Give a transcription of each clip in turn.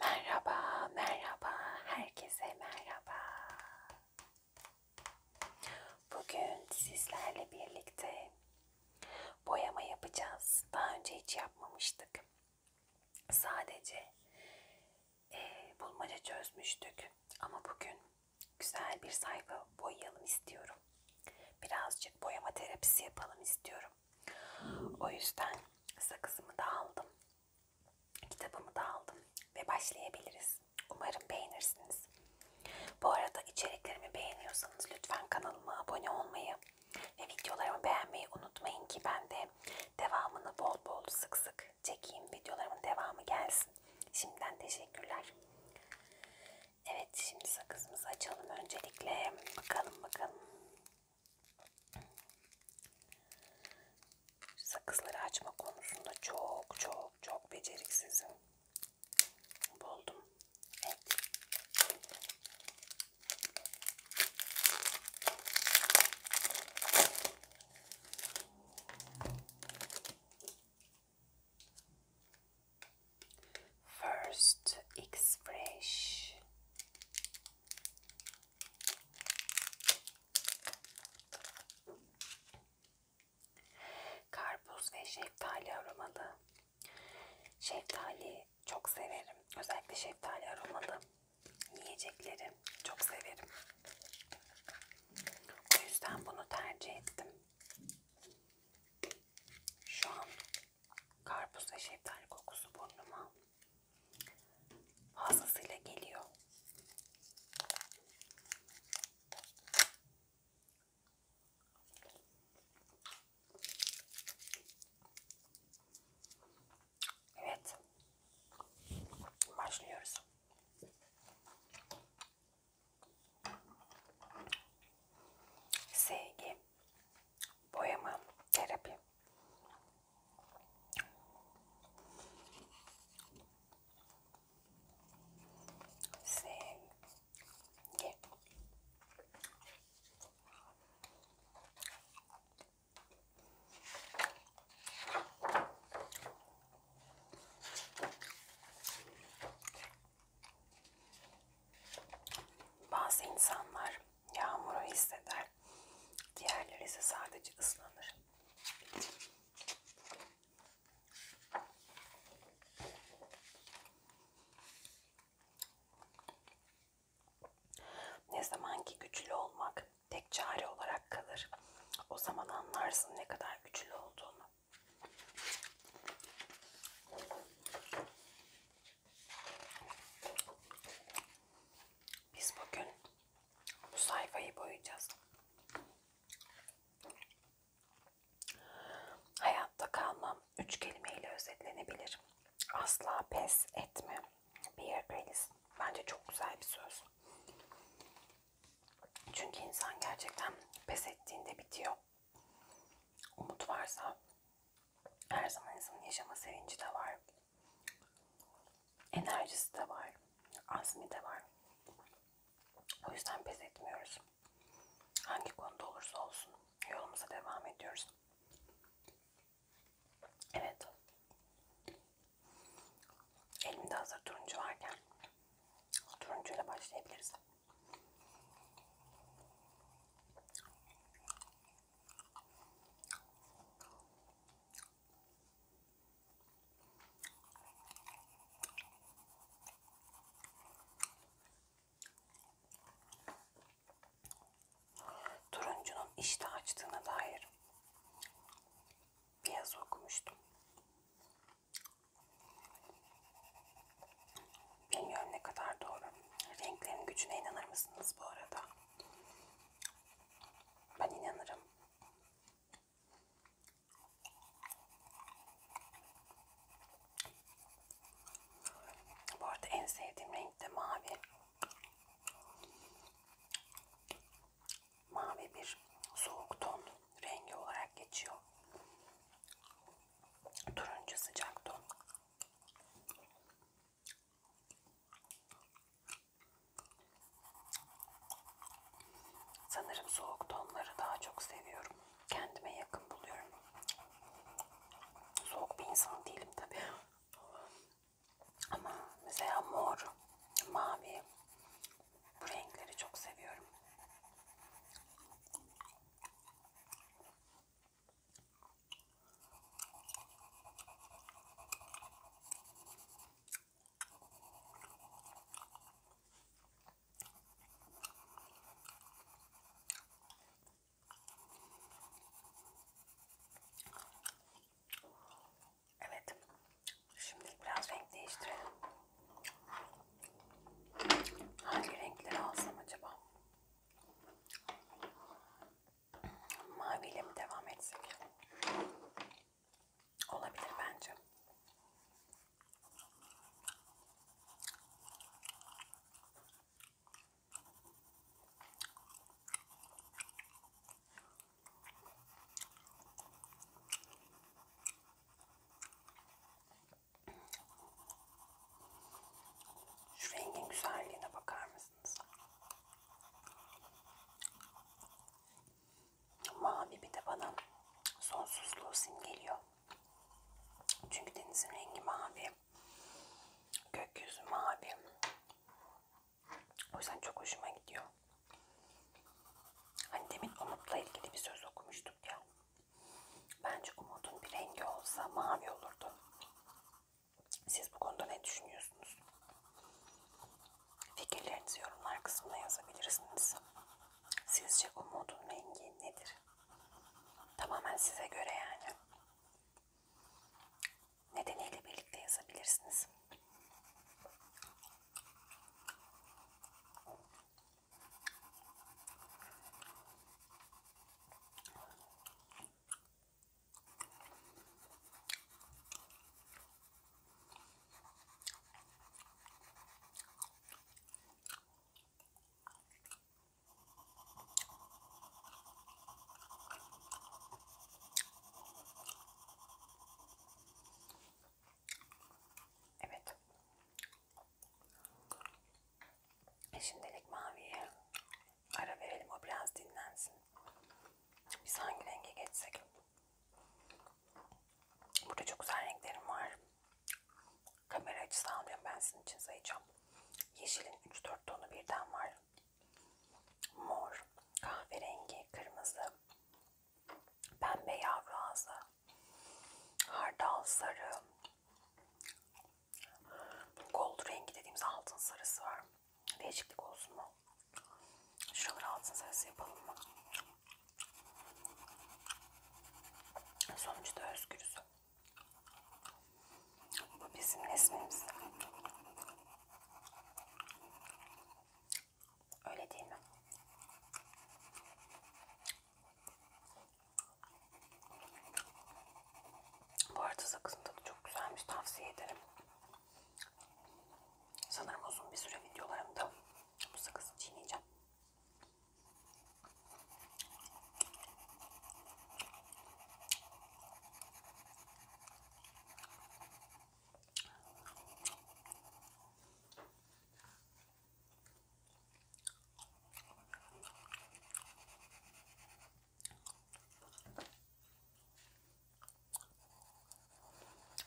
Merhaba, merhaba, herkese merhaba. Bugün sizlerle birlikte boyama yapacağız. Daha önce hiç yapmamıştık. Sadece e, bulmaca çözmüştük. Ama bugün güzel bir sayfa boyayalım istiyorum. Birazcık boyama terapisi yapalım istiyorum. O yüzden sakızımı da aldım. Kitabımı da aldım. Ve başlayabiliriz. Umarım beğenirsiniz. Bu arada içeriklerimi beğeniyorsanız lütfen kanalıma abone olmayı ve videolarımı beğenmeyi unutmayın ki ben de devamını bol bol sık sık çekeyim. Videolarımın devamı gelsin. Şimdiden teşekkürler. Evet şimdi sakızımızı açalım öncelikle. Bakalım bakalım. Sakızları açma konusunda çok çok çok beceriksizim. Buldum. Evet. First X Fresh Karpuz ve şeftali aromalı. Şeftali çok severim. Özellikle şeftali aromalı yiyecekleri çok severim. O yüzden bunu tercih ettim. Şu an Karpuz ve şeftali kokusu burnuma fazlasıyla geliyor. Evet. Başlıyoruz. Sevgi, boyama, terapi. Sevgi. Bazı insanlar yağmuru hisseder pişer. Diğerleri ise sadece ıslanır. Ne zaman ki güçlü olmak tek çare olarak kalır. O zaman anlarsın ne kadar güçlü olduğunu. Biz bugün bu sayfayı boyayacağız. Hayatta kalmam üç kelimeyle özetlenebilir. Asla pes etme. Bear Grylls. Bence çok güzel bir söz. Çünkü insan gerçekten pes ettiğinde bitiyor. Umut varsa her zaman insanın yaşama sevinci de var. Enerjisi de var. Azmi de var. O yüzden pes etmiyoruz. Hangi konuda olursa olsun yolumuza devam ediyoruz. Evet. Elimde hazır turuncu varken turuncuyla başlayabiliriz. Turuncunun iştah açtığına dair bir yazı okumuştum. Bilmiyorum ne kadar doğru. Renklerin gücüne inanır mısınız bu arada? Ben inanırım. Bu arada en sevdiğim renk de mavi. Mavi bir soğuk ton rengi olarak geçiyor. Turuncu sıcak ton. Sanırım soğuk tonları daha çok seviyorum. Kendime yakın buluyorum. Soğuk bir insan değilim tabii. Ama mesela mor, mavi bu renkleri çok seviyorum. Evet. Şimdi biraz renk değiştirelim. Hangi renkleri alsam acaba? maviyle mi devam etsek? Olabilir bence. Şu rengin güzelliğine bakar mısın? yaparsınız. Mavi bir de bana sonsuzluğu simgeliyor. Çünkü denizin rengi mavi. Gökyüzü mavi. O yüzden çok hoşuma gidiyor. Hani demin umutla ilgili bir söz okumuştuk ya. Bence umudun bir rengi olsa mavi olurdu. Siz bu konuda ne düşünüyorsunuz? Fikirlerinizi yorumlar kısmına yazabilirsiniz. Sizce umudun rengi nedir? Tamamen size göre yani. Nedeniyle birlikte yazabilirsiniz. Evet. E, şimdilik maviye Ara verelim o biraz dinlensin. Biz hangi renge geçsek? Burada çok güzel renklerim var. Kamera açısı almıyorum ben sizin için sayacağım. Yeşilin 3-4 tonu birden var. Mor, kahverengi, kırmızı, pembe yavru ağzı, hardal sarı, gold rengi dediğimiz altın sarısı var. Değişiklik olsun mu? Şuraları altın sarısı yapalım mı? Sonuçta özgürüz. Bu bizim resmimiz. Öyle değil mi? Bu arada sakızın tadı çok güzelmiş. Tavsiye ederim. Sanırım uzun bir süre videolarımda bu sakızı çiğneyeceğim.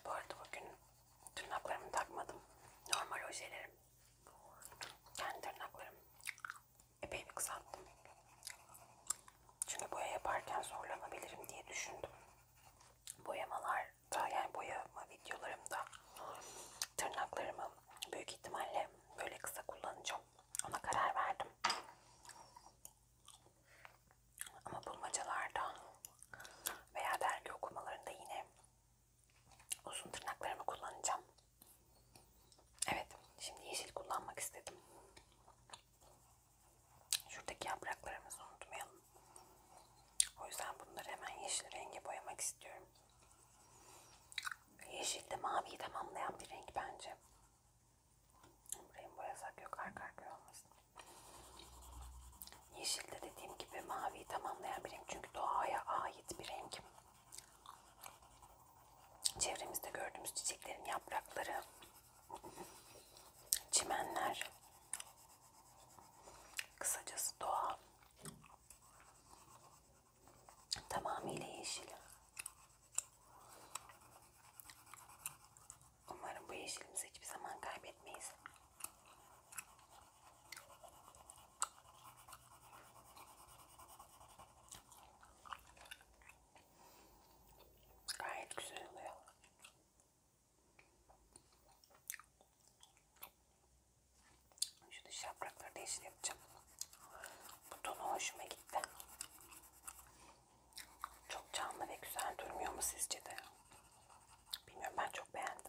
Bu arada bugün tırnaklarımı takmadım. Normal ojelerim. Yani tırnaklarım. Epey bir kısalttım. Çünkü boya yaparken zorlanabilirim diye düşündüm. Boyamalarda yani boyama videolarımda tırnaklarımı büyük ihtimalle böyle kısa kullanacağım. Ona karar verdim. Ama bulmacalarda veya dergi okumalarında yine uzun tırnaklarımı kullanacağım. Evet, şimdi yeşil kullanmak istedim. Şuradaki yapraklarımızı unutmayalım. O yüzden bunları hemen yeşil renge boyamak istiyorum. Yeşil de maviyi tamamlayan bir renk bence. Burayı boyasak yok arka arkaya olmasın. Yeşil de dediğim gibi maviyi tamamlayan bir renk. Çünkü doğaya ait bir renk. Çevremizde gördüğümüz çiçeklerin yaprakları, çimenler, kısacası doğa tamamıyla yeşil. Umarım bu yeşilimizi hiçbir zaman kaybetmeyiz. Gayet güzel oluyor. Şu dış yaprakları da yeşil yapacağım. Bu tonu hoşuma gitti. Çok canlı ve güzel durmuyor mu sizce de? Bilmiyorum ben çok beğendim.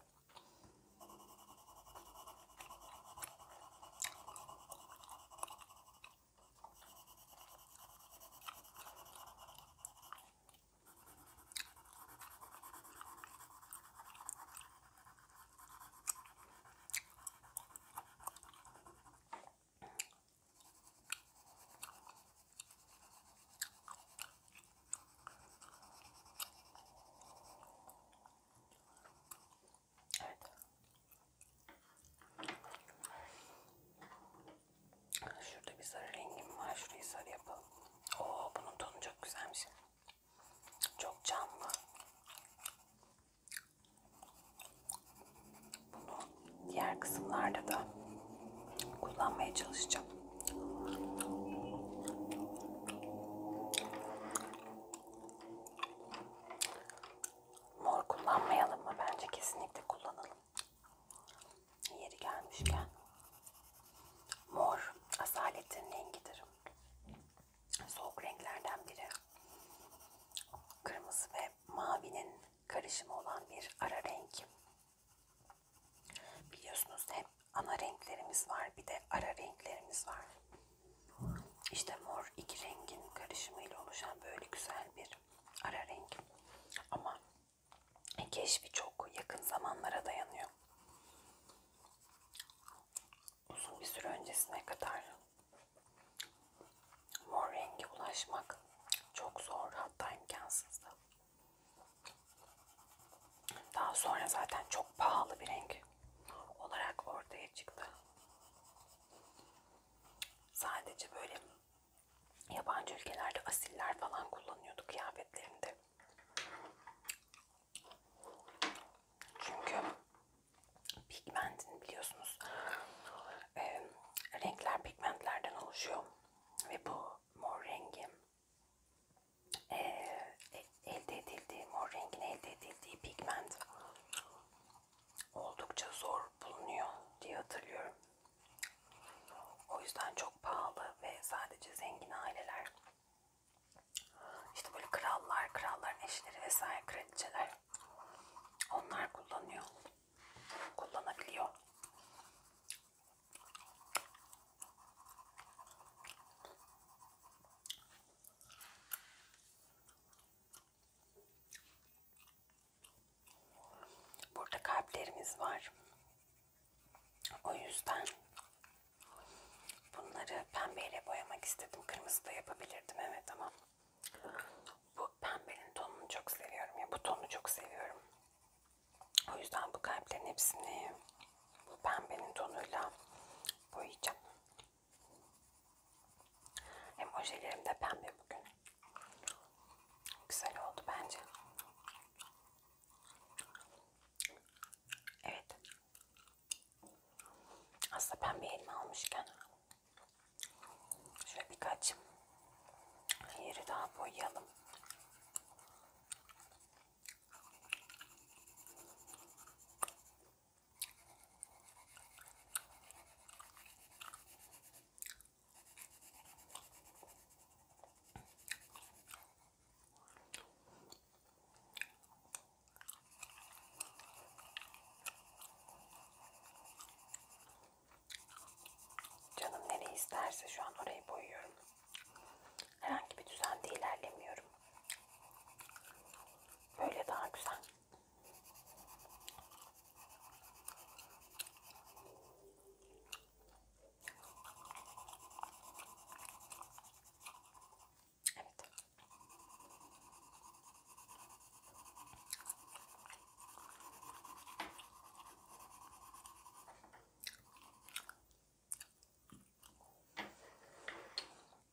Evet. Şurada bir sarı rengim var. Şurayı sarı yapalım. Oo bunun tonu çok güzelmiş. Çok canlı. Bunu diğer kısımlarda da kullanmaya çalışacağım. Mor kullanmayalım mı? Bence kesinlikle kullanalım. Yeri gelmişken. Mor asaletin rengidir. Soğuk renklerden biri. Kırmızı ve mavinin karışımı olan bir ara renk. Biliyorsunuz hep ana renklerimiz var. Bir de ara renklerimiz var. İşte mor iki rengin karışımıyla oluşan böyle güzel bir ara renk. Ama keşfi çok yakın zamanlara dayanıyor. Uzun bir süre öncesine kadar mor rengi ulaşmak çok zor hatta imkansızdı. Daha sonra zaten çok pahalı bir renk olarak ortaya çıktı. Sadece böyle yabancı ülkelerde asiller falan kullanıyordu kıyafetlerinde. Çünkü pigmentin biliyorsunuz e, renkler pigmentlerden oluşuyor ve bu mor rengi ee, e, elde edildiği, mor rengin elde edildiği pigment oldukça zor bulunuyor diye hatırlıyorum. O yüzden çok pahalı ve sadece zengin aileler işte böyle krallar, kralların eşleri vesaire kraliçeler onlar kullanıyor. Kullanabiliyor. Burada kalplerimiz var. O yüzden bunları pembeyle boyamak istedim. Kırmızı da yapabilirdim evet ama bu pembenin tonunu çok seviyorum ya bu tonu çok seviyorum. O yüzden bu kalplerin hepsini bu pembenin tonuyla boyayacağım. Hem ojelerim de pembe bugün. Güzel oldu bence. Evet. Aslında pembe elma almışken şöyle birkaç Yeri daha boyayalım. Canım nereye isterse şu an orayı boyuyorum. Herhangi bir düzende ilerlemiyorum. Böyle daha güzel. Evet.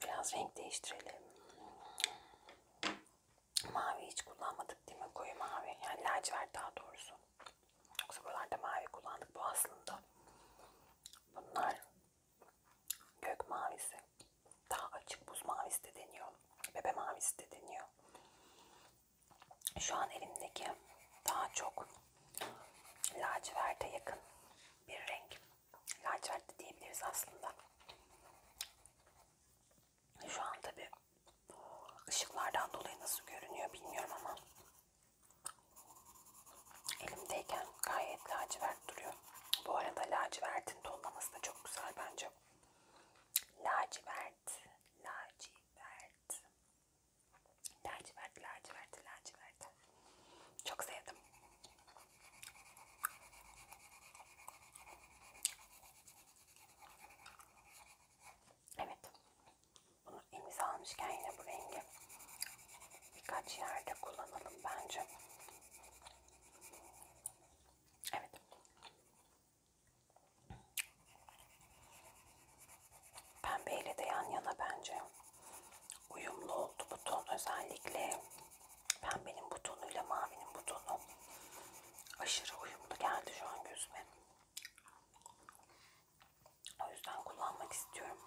Biraz renk değiştirelim. Mavi hiç kullanmadık değil mi? Koyu mavi. Yani lacivert daha doğrusu. Yoksa buralarda mavi kullandık. Bu aslında. Bunlar gök mavisi. Daha açık buz mavisi de deniyor. Bebe mavisi de deniyor. Şu an elimdeki daha çok laciverte yakın bir renk. Laciverte diyebiliriz aslında. Şu an tabi ışıklardan dolayı nasıl görünüyor bilmiyorum ama elimdeyken gayet lacivert duruyor. Bu arada lacivertin tonlaması da çok güzel bence. Lacivert, lacivert. Lacivert, lacivert, lacivert. Çok sevdim. Evet. Bunu elimize almışken yine bu rengi birkaç yerde kullanalım bence. Evet. Pembeyle de yan yana bence uyumlu oldu bu ton. Özellikle pembenin bu tonuyla mavinin bu tonu aşırı uyumlu geldi şu an gözüme. O yüzden kullanmak istiyorum.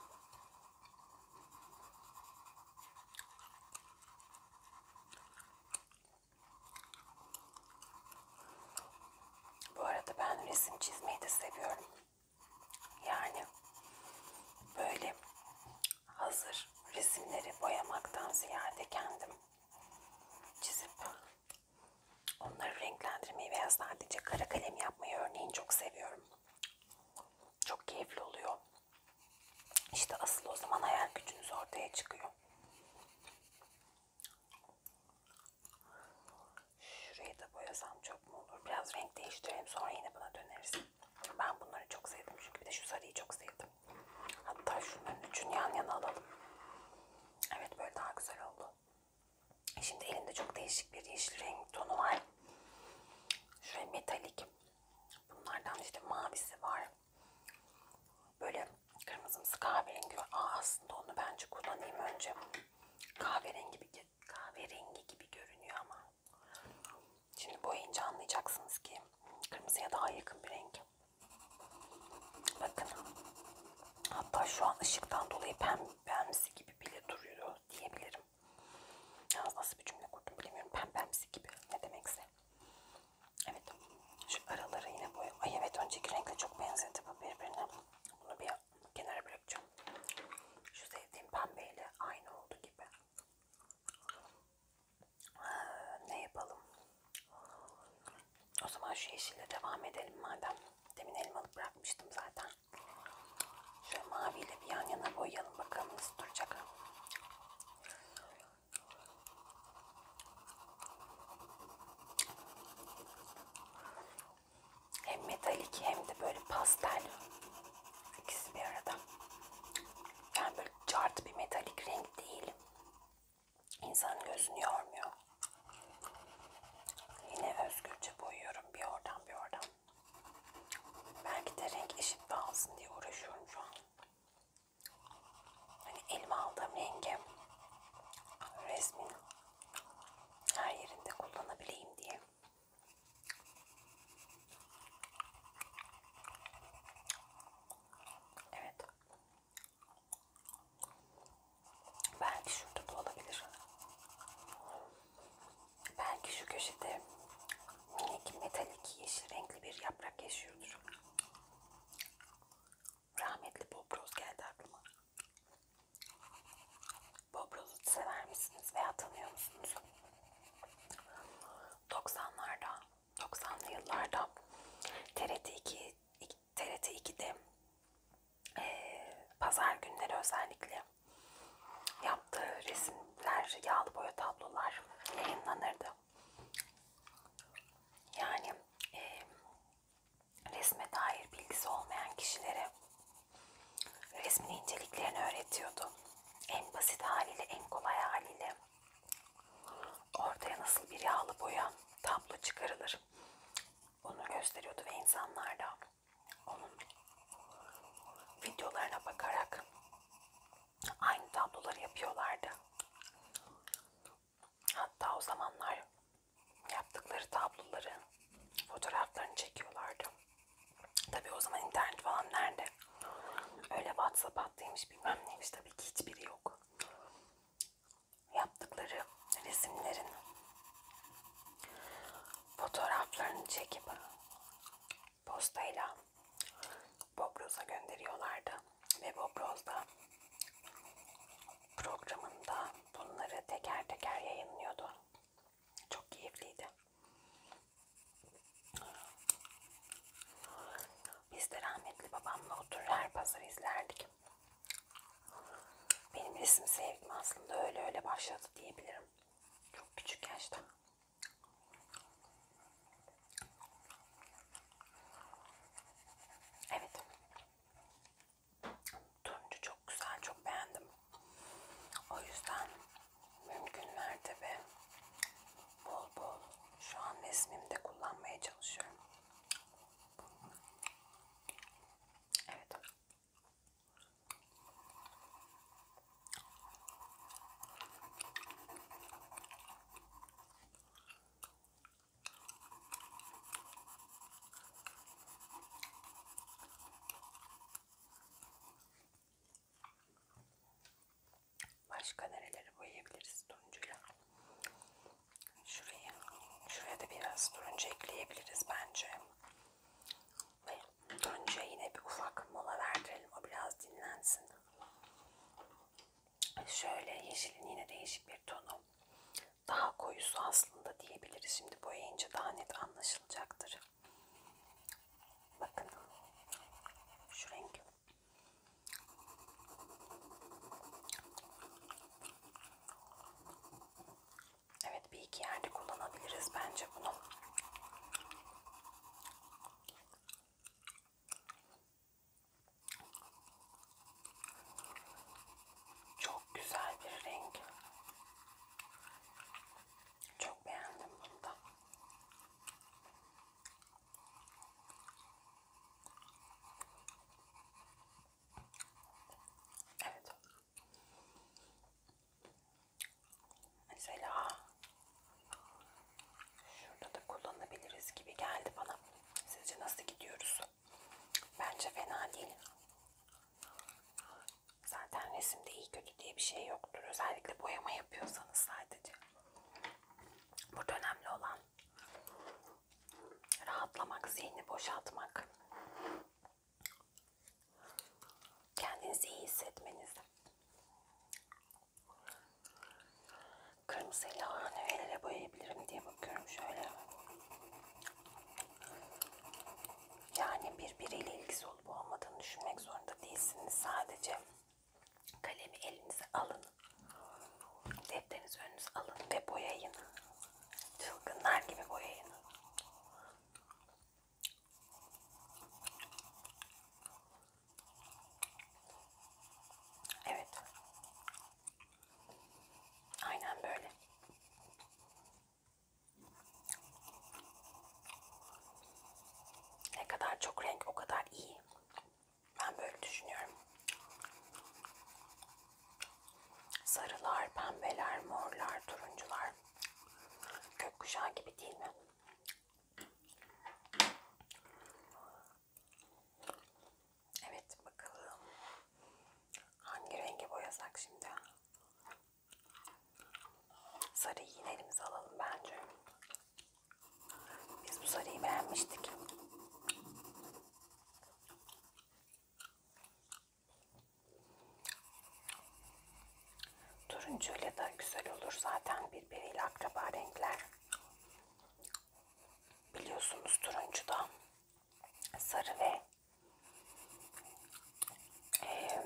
Bu arada ben resim çizmeyi de seviyorum. Yani böyle hazır resimleri boyamaktan ziyade kendim çizip onları renklendirmeyi veya sadece kara kalem yapmayı örneğin çok seviyorum. Çok keyifli oluyor. İşte asıl o zaman hayal gücünüz ortaya çıkıyor. Şurayı da boyasam çok mu olur? Biraz renk değiştirelim sonra yine buna döneriz. Ben bunları çok sevdim çünkü bir de şu sarıyı çok sevdim. Hatta şunların üçünü yan yana alalım. Evet böyle daha güzel oldu. E şimdi elimde çok değişik bir yeşil renk tonu var. Şöyle metalik. Bunlardan işte mavisi var. Böyle kırmızımsı kahverengi var. Aa, aslında onu bence kullanayım önce kahverengi gibi kahverengi gibi görünüyor ama şimdi boyayınca anlayacaksınız ki kırmızıya daha yakın bir renk. Bakın. Hatta şu an ışıktan dolayı pembemsi gibi bile duruyor diyebilirim. Yalnız nasıl bir cümle kurdum bilemiyorum. Pembemsi gibi ne demekse. Evet. Şu araları yine boyayım. Ay evet önceki renkle çok benzedi bu birbirine. Bunu bir kenara bırakacağım. Şu sevdiğim pembeyle aynı oldu gibi. Ee, ne yapalım? O zaman şu yeşille devam edelim madem. Demin elmalı bırakmıştım zaten. Şu maviyle bir yan yana boyayalım bakalım nasıl duracak. Hem metalik hem de böyle pastel. İkisi bir arada. Yani böyle cart bir metalik renk değil. İnsanın gözünü yormuyor. Yine özgürce boyuyorum bir oradan bir oradan. Belki de renk eşit dağılsın diye uğraşıyorum şu an. Hani elime aldığım rengi resmin her yerinde kullanabileyim diye. Evet. Belki şurada da olabilir. Belki şu köşede minik metalik yeşil renkli bir yaprak yaşıyordur. Rahmetli Bob Ross geldi aklıma. Bobrozut sever misiniz veya tanıyor musunuz? 90'larda, 90'lı yıllarda TRT 2 TRT 2'de e, pazar günleri özellikle yaptığı resimler, yağlı boya tablolar yayınlanırdı. Yani e, resme dair bilgisi olmayan kişilere resmin inceliklerini öğretiyordu. En basit haliyle, en kolay haliyle ortaya nasıl bir yağlı boya tablo çıkarılır onu gösteriyordu ve insanlar da onun videolarına bakarak aynı tabloları yapıyorlardı. Hatta o zamanlar yaptıkları tabloları, fotoğraflarını çekiyorlardı. Tabii o zaman internet falan nerede? Öyle WhatsApp attıymış bilmem neymiş tabii ki hiçbiri yok. Yaptıkları resimlerin fotoğraflarını çekip postayla Bobroz'a gönderiyorlardı. Ve Bobroz da programında bunları teker teker yayınlıyordu. Çok keyifliydi. Biz de rahmetli babamla oturur her pazarı izlerdik. Benim resim sevgim aslında öyle öyle başladı diyebilirim. Çok küçük yaşta. Evet. Turuncu çok güzel, çok beğendim. O yüzden mümkün mertebe bol bol şu an resmimde kullanmaya çalışıyorum. Evet. Başka nereleri boyayabiliriz turuncuyla? Şurayı, şuraya da biraz turuncu ekleyebiliriz bence. Ve turuncuya yine bir ufak mola verdirelim. O biraz dinlensin. Şöyle yeşilin yine değişik bir tonu daha koyusu aslında diyebiliriz. Şimdi boyayınca daha net anlaşılacaktır. Bakın şu renk. Evet bir iki yerde kullanabiliriz bence bunu. Çok güzel bir renk. Çok beğendim bunu da. Evet. Mesela şurada da kullanabiliriz gibi geldi bana. Sizce nasıl gidiyoruz? Bence fena değil. Zaten resimde iyi kötü diye bir şey yoktur. Özellikle boyama yapıyorsanız sadece. Burada önemli olan rahatlamak, zihni boşaltmak. Kendinizi iyi hissetmeniz. Kırmızı lahana nelere boyayabilirim diye bakıyorum şöyle. Yani birbiriyle ilgisi olup olmadığını düşünmek zorunda değilsiniz. Sadece kalemi elinize alın. Defterinizi önünüze alın ve boyayın. Çılgınlar gibi boyayın. Evet. Aynen böyle. Ne kadar çok renk o kadar iyi. Ben böyle düşünüyorum. Sarılar, pembeler, morlar, turuncular. Gökkuşağı gibi değil mi? Evet bakalım. Hangi rengi boyasak şimdi? Sarıyı yine elimize alalım bence. Biz bu sarıyı beğenmiştik. Turuncuyla da güzel olur zaten birbiriyle akraba renkler. Biliyorsunuz turuncu da sarı ve ee,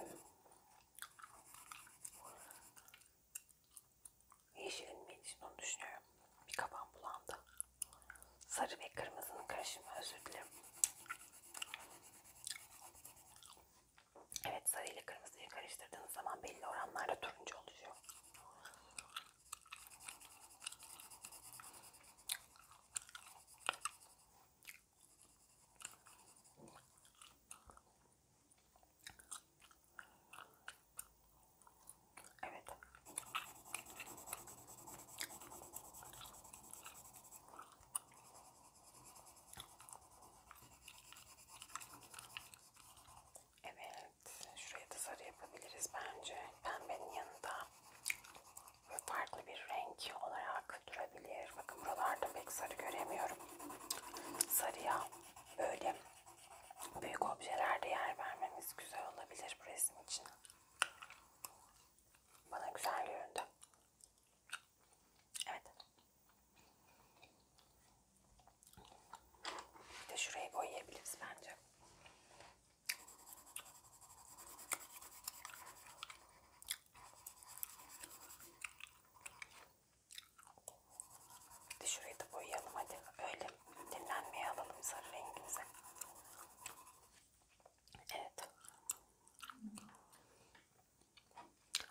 yeşilin için onu düşünüyorum. Bir kaban bulandı. Sarı ve kırmızının karışımı özür dilerim. Evet sarı ile kırmızıyı karıştırdığınız zaman belli oranlarda turuncu oluşuyor. Evet. Evet, şuraya da sarı yapabiliriz bence. Pembenin yanında farklı bir renk olarak durabilir. Bakın buralarda pek sarı göremiyorum. Sarıya böyle büyük objelerde yer vermemiz güzel olabilir bu resim için. Bana güzel göründü. Evet. Bir de şurayı boyayabiliriz bence. Hadi şurayı da boyayalım hadi. Öyle dinlenmeye alalım sarı rengimize. Evet.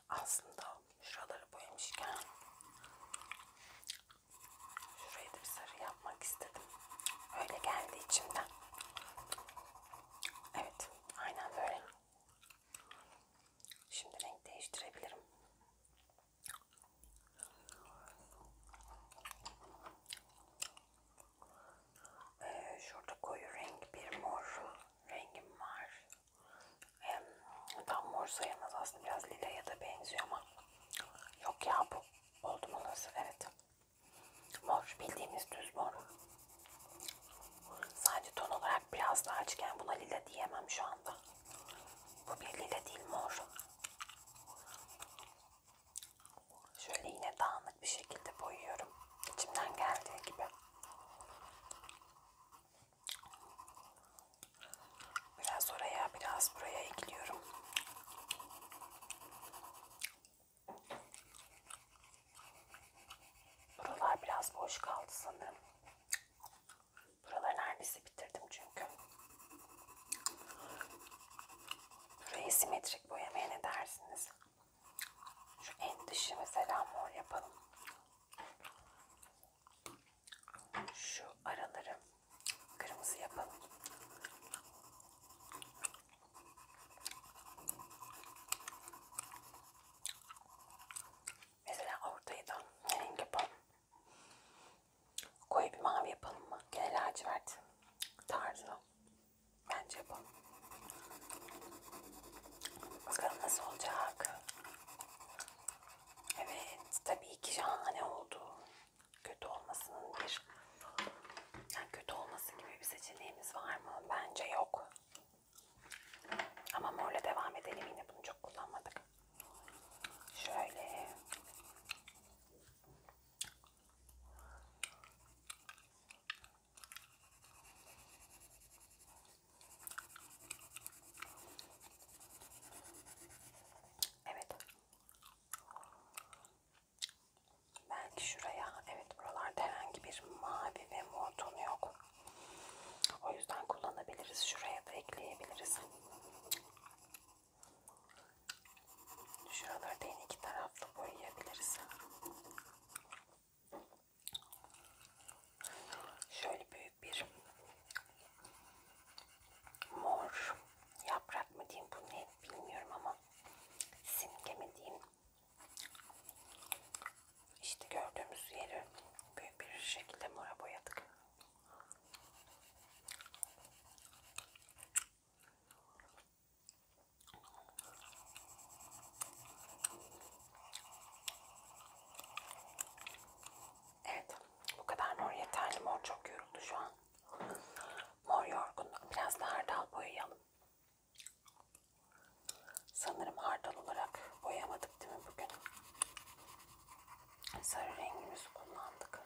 Aslında şuraları boyamışken şurayı da bir sarı yapmak istedim. Öyle geldi içimden. Evet. Aynen böyle. Şimdi renk değiştirebilirim. Ee, şurada koyu renk bir mor rengim var. Ee, tam mor sayılmaz aslında biraz lilaya da benziyor ama yok ya bu oldu mu nasıl evet. Mor bildiğimiz düz mor. Sadece ton olarak biraz daha açken buna lila diyemem şu anda. Bu bir lila değil mor. Şöyle yine dağınık bir şekilde boyuyorum. İçimden geldiği gibi. Biraz oraya biraz buraya ekliyorum. Buralar biraz boş kaldı sanırım. Buraları neredeyse bitirdim çünkü. Burayı simetrik boyamaya ne dersiniz? Şu en dışı mesela mor yapalım. Şu araları kırmızı yapalım. Mesela ortaya da renk yapalım. Koyu bir mavi yapalım mı? Gene lacivert tarzı. Bence yapalım. Bakalım nasıl olacak. Evet, tabii ki şahane oldu. Kötü olmasının bir yani kötü olması gibi bir seçeneğimiz var mı? Bence yok. Ama morla devam edelim yine bunu çok kullanmadık. Şöyle. Evet. Belki şuraya, evet buralarda herhangi bir mavi ve mor tonu yok. O yüzden kullanabiliriz. Şuraya da ekleyebiliriz. Şuraları da yine iki taraflı boyayabiliriz. Şöyle büyük bir mor yaprak mı diyeyim bu ne bilmiyorum ama simge mi diyeyim işte gördüğümüz yeri büyük bir şekilde mora boyadık. Evet, bu kadar mor yeterli. Mor çok yoruldu şu an. Mor yorgun. Biraz daha hardal boyayalım. Sanırım hardal olarak boyamadık değil mi bugün? Sarı rengimizi kullandık.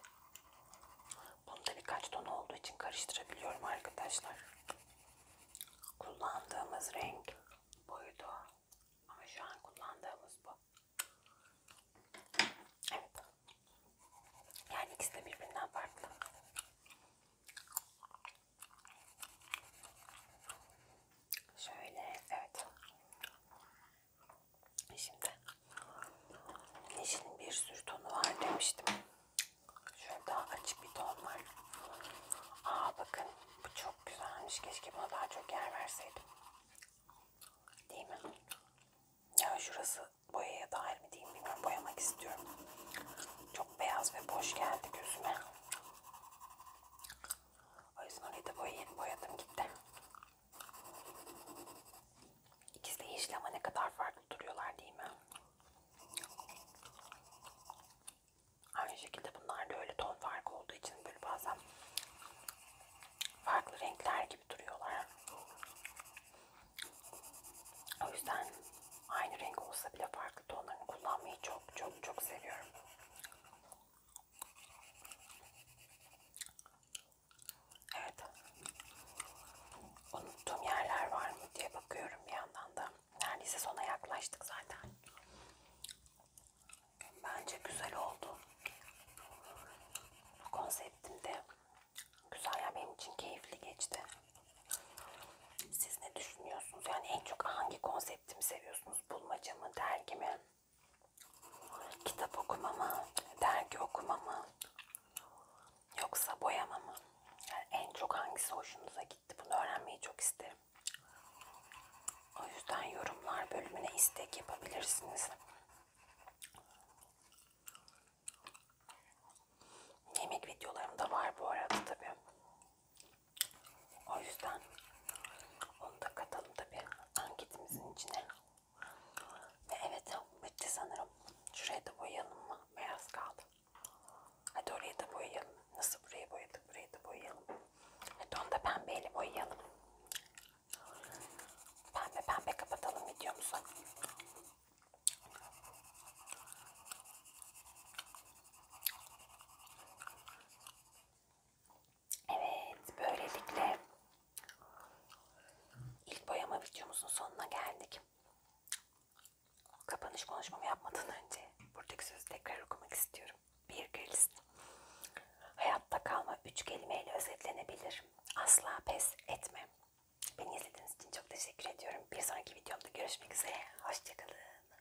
Bunun da birkaç ton olduğu için karıştırabiliyorum arkadaşlar. Kullandığımız renk buydu. Ama şu an kullandığımız bu. Evet. Yani ikisi de birbirinden farklı. Şöyle evet. Şimdi Neşe'nin bir sürü tonu var demiştim. Şöyle daha açık bir ton var. Aa bakın bu çok güzelmiş. Keşke buna daha çok yer verseydim. Değil mi? Ya şurası boyaya dahil mi değil mi bilmiyorum. Boyamak istiyorum. Çok beyaz ve boş geldi gözüme. O yüzden orayı da boya yeni boyadım gitti. İkisi de yeşil ama ne kadar farklı duruyorlar değil mi? Aynı şekilde bunlar da öyle ton farkı olduğu için böyle bazen farklı renkler gibi duruyorlar. O yüzden Aynı renk olsa bile farklı tonlarını kullanmayı çok çok çok seviyorum. Evet. Unuttuğum yerler var mı diye bakıyorum bir yandan da. Neredeyse sona yaklaştık zaten. Bence güzel oldu. Bu konseptimde güzel ya benim için keyifli geçti. Siz ne düşünüyorsunuz? Yani en çok hangi konseptimi seviyorsunuz? Bulmaca mı, dergi mi? Kitap okuma mı? Dergi okuma mı? Yoksa boyama mı? Yani en çok hangisi hoşunuza gitti? Bunu öğrenmeyi çok isterim. O yüzden yorumlar bölümüne istek yapabilirsiniz. Yemek videolarım da var bu arada tabii. O yüzden onu da katalım tabi anketimizin içine. Ve evet bitti sanırım. Şuraya da boyayalım mı? Beyaz kaldı. Hadi oraya da boyayalım. Nasıl buraya boyadık? Buraya da boyayalım. Hadi onu da pembeyle boyayalım. Pembe pembe kapatalım videomuzu. Evet, böylelikle ilk boyama videomuzun sonuna geldik. Kapanış konuşmamı yapmadan önce buradaki sözü tekrar okumak istiyorum. Bir Grylls. Hayatta kalma üç kelimeyle özetlenebilir. Asla pes etme. Beni izlediğiniz için çok teşekkür ediyorum. Bir sonraki videomda görüşmek üzere. Hoşçakalın.